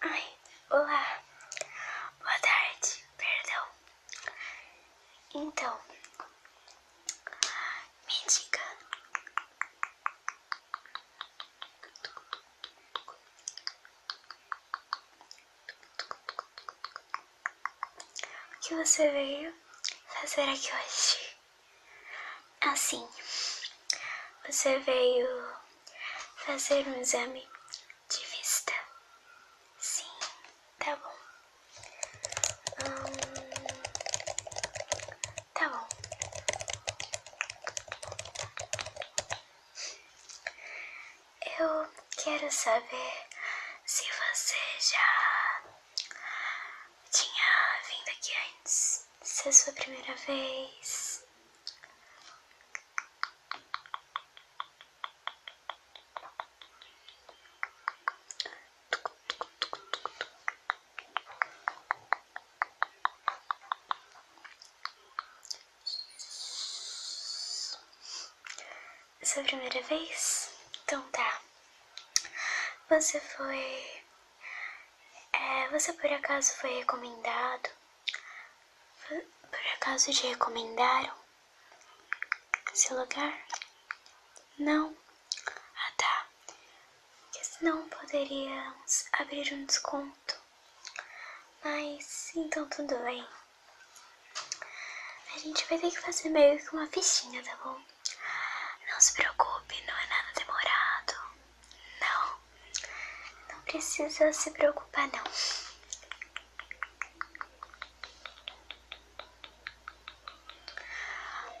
Ai, olá. Boa tarde, perdão. Então, me diga. que você veio fazer aqui hoje? Assim, você veio fazer um exame de vista. Sim, tá bom. Hum, tá bom. Eu quero saber se você já tinha vindo aqui antes. Se é sua primeira vez. Essa é a primeira vez? Então tá. Você foi. É, você por acaso foi recomendado por, acaso te recomendaram esse lugar? Não? Ah tá. Porque senão poderíamos abrir um desconto. Mas então tudo bem. A gente vai ter que fazer meio que uma fichinha, tá bom? Não se preocupe, não é nada demorado. Não, não precisa se preocupar não.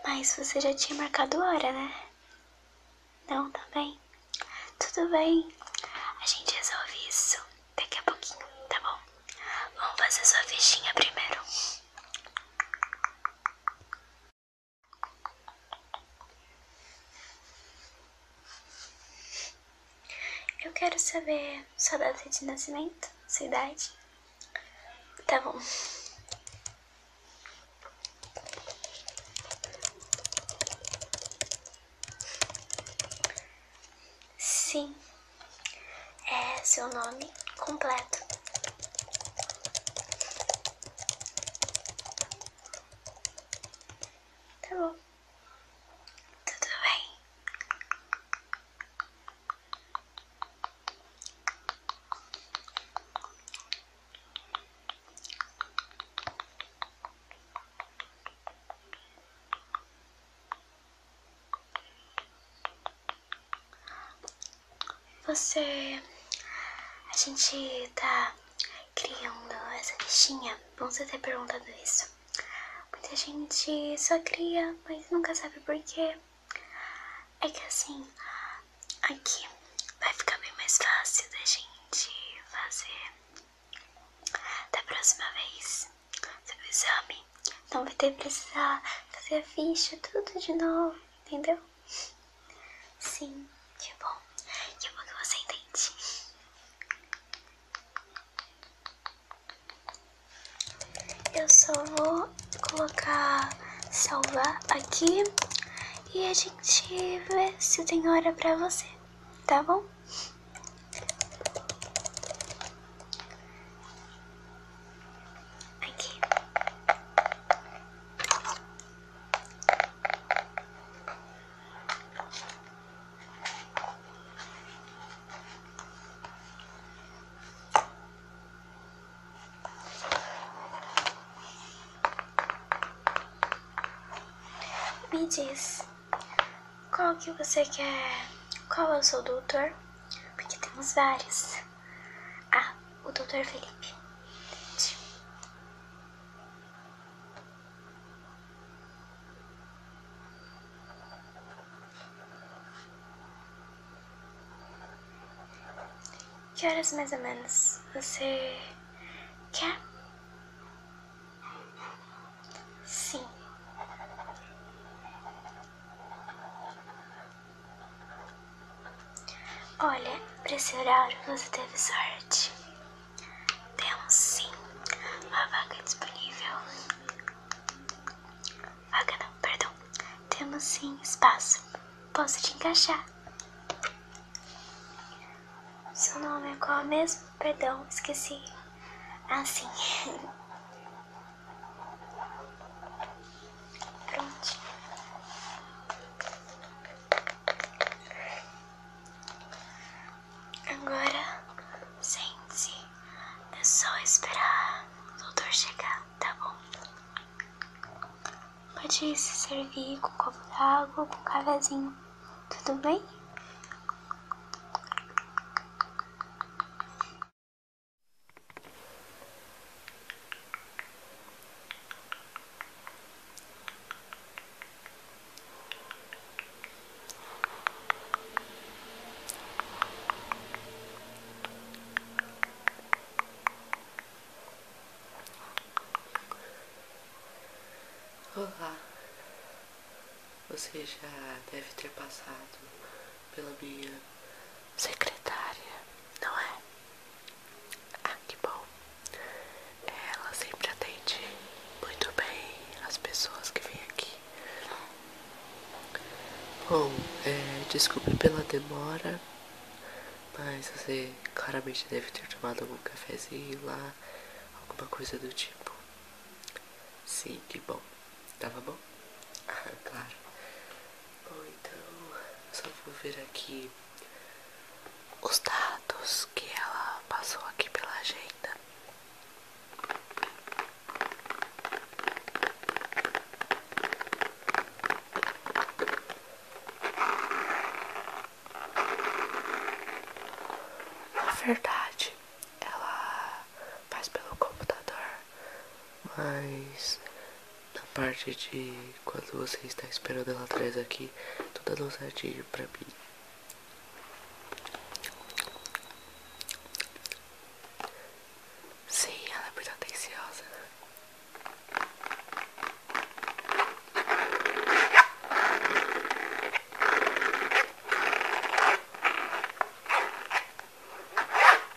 Mas você já tinha marcado hora, né? Não, também tá Tudo bem. A gente resolve isso daqui a pouquinho, tá bom? Vamos fazer sua fichinha primeiro. Eu quero saber sua data de nascimento, sua idade. Tá bom. Sim. É seu nome completo. Tá bom. Tudo bem? Você. A gente tá criando essa fichinha? Vão se ter perguntado isso. Muita gente só cria, mas nunca sabe porquê. É que assim, aqui vai ficar bem mais fácil da gente fazer. Da próxima vez, sobre o exame, não vai ter que precisar fazer a ficha tudo de novo, entendeu? Sim, que bom. Que bom que você entende. Eu só vou colocar salvar aqui e a gente vê se tem hora pra você, tá bom? Aqui. Me diz, qual que você quer? Qual eu é sou o doutor? Porque temos vários. Ah, o doutor Felipe. Que horas mais ou menos você quer? Sim. Olha, pra esse horário você teve sorte. Temos sim uma vaca disponível. Vaca não, perdão. Temos sim espaço. Posso te encaixar. Seu nome é qual mesmo? Perdão, esqueci. Assim. sim. Prontinho. Agora, sente-se. É só esperar o doutor chegar, tá bom? Pode se servir com copo d'água, com um tudo bem? Olá! Você já deve ter passado pela minha secretária, não é? Ah, que bom. Ela sempre atende muito bem as pessoas que vêm aqui. Bom, é, desculpe pela demora, mas você claramente deve ter tomado algum cafezinho lá, alguma coisa do tipo. Sim, que bom. Tava bom? Ah, claro então, só vou ver aqui os dados que ela passou aqui pela agenda. Na verdade, ela faz pelo computador, mas na parte de quando você está esperando ela atrás aqui, tudo dando certinho para mim. Sim, ela é muito atenciosa.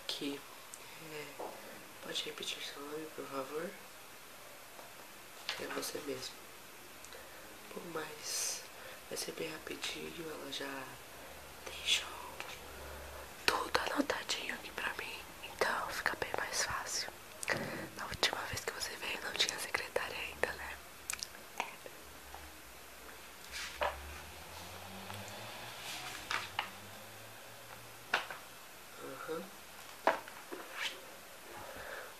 Aqui. É, pode repetir seu nome, por favor? É você mesmo. Bom, mas vai ser bem rápido ela já deixou tudo anotadinho aqui pra mim. Então fica bem mais fácil. Na última vez que você veio não tinha secretária ainda, né? Uhum.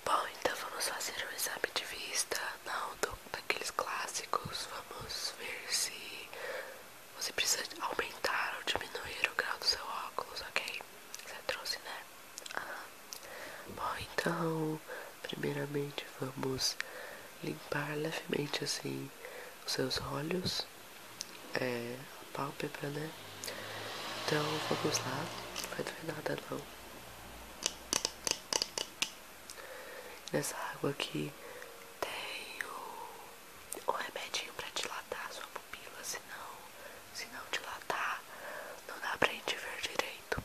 Bom, então vamos fazer um exame de vista, não daqueles clássicos. Vamos ver se você precisa aumentar ou diminuir o grau do seu óculos, ok? Você trouxe, né? Ah, bom, então, primeiramente vamos limpar levemente assim os seus olhos, é, a pálpebra, né? Então vamos lá, não vai doer nada não. Nessa água aqui tem um remedinho pra dilatar a sua pupila, senão, se não dilatar, não dá pra gente ver direito.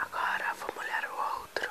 Agora vou molhar o outro.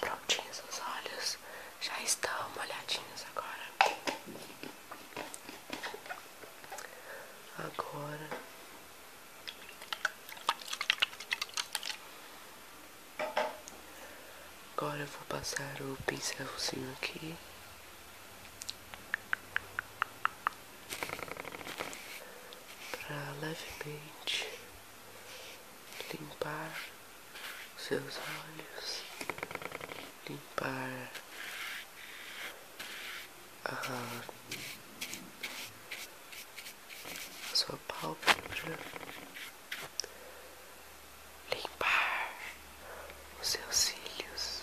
Prontinhos os olhos, já estão molhadinhos agora. Agora Agora eu vou passar o pincelzinho aqui para levemente limpar seus olhos, limpar a sua pálpebra, limpar os seus cílios,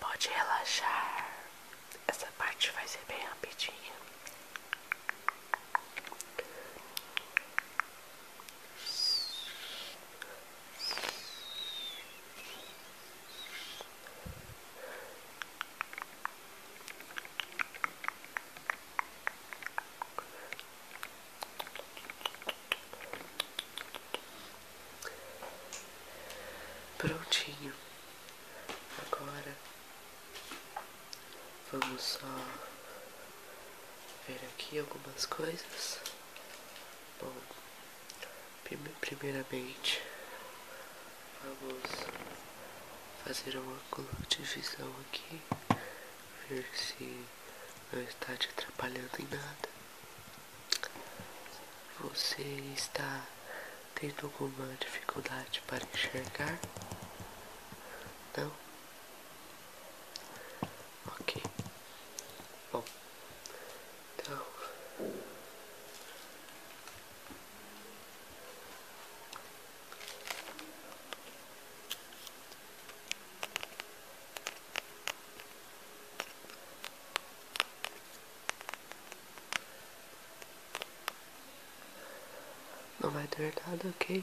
Pode relaxar. Essa parte vai ser bem rapidinha. Relaxa, relaxa, relaxa, relaxa, relaxa, relaxa, relaxa, relaxa, relaxa, relaxa, relaxa, Prontinho. Agora vamos ver aqui algumas coisas. Bom, primeiramente Vamos fazer um ângulo de visão aqui, ver se não está te atrapalhando em nada. Você está tendo alguma dificuldade para enxergar? Não? Ok. Bom, então. Não vai ter nada, ok?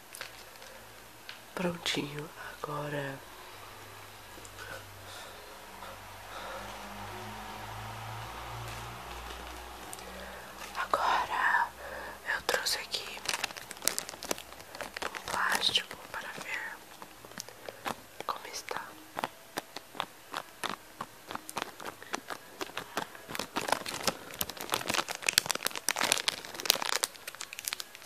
Prontinho, agora Agora eu trouxe aqui um plástico para ver como está.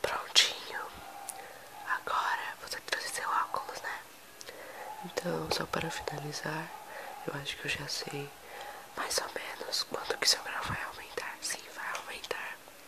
Prontinho. Agora você trouxe seu óculos, né? Então, só para finalizar, eu acho que eu já sei mais ou menos quanto que seu grau vai aumentar. Sim, vai aumentar.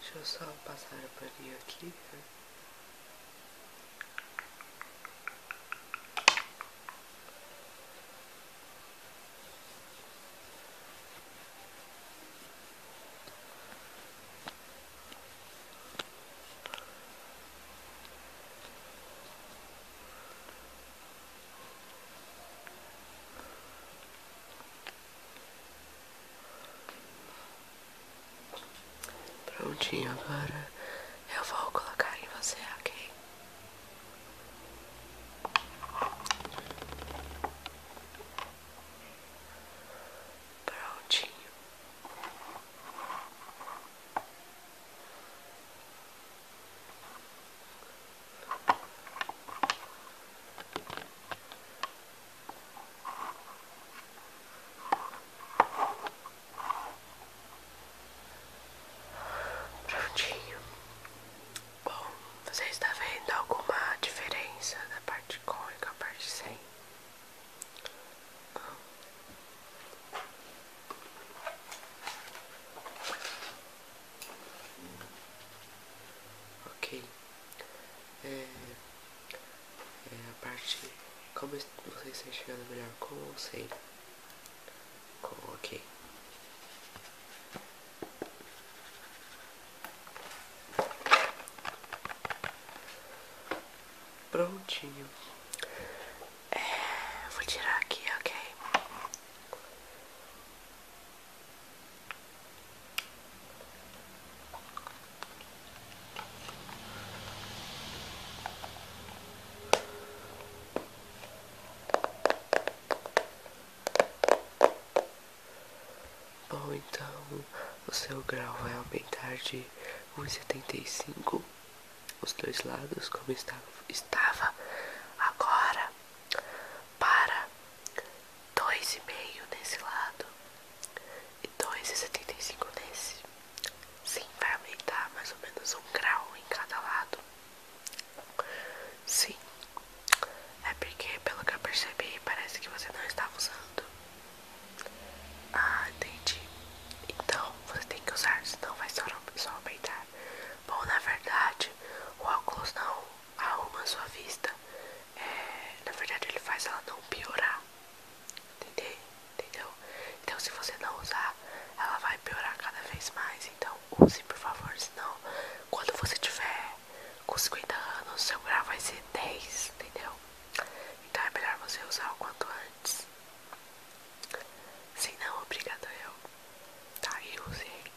Deixa eu só passar a palha aqui. Né? Prontinho, agora eu vou colocar em você, ok? Prontinho juntinho Bom, você está vendo alguma diferença da parte cônica parte sem? Ok. É, é, a parte. Como você está chegando melhor? como ou sem? ok. Prontinho. É, vou tirar aqui, ok? Bom, então o seu grau vai aumentar de 1,75 os dois lados como estava, estava agora para 2,5 nesse lado e 2,75 nesse. Sim, vai aumentar mais ou menos um grau em cada lado. Sim, é porque, pelo que eu percebi, parece que você não estava usando. Ah, entendi. Então, você tem que usar, senão vai só, só aumentar. Bom, na verdade, o óculos não arruma sua vista. É, na verdade, ele faz ela não piorar. Entendeu? Então, se você não usar, ela vai piorar cada vez mais. Então, use, por favor. Senão, quando você tiver com 50 anos, seu grau vai ser 10. Entendeu? Então, é melhor você usar o quanto antes. Se não, obrigado eu. Tá, aí use.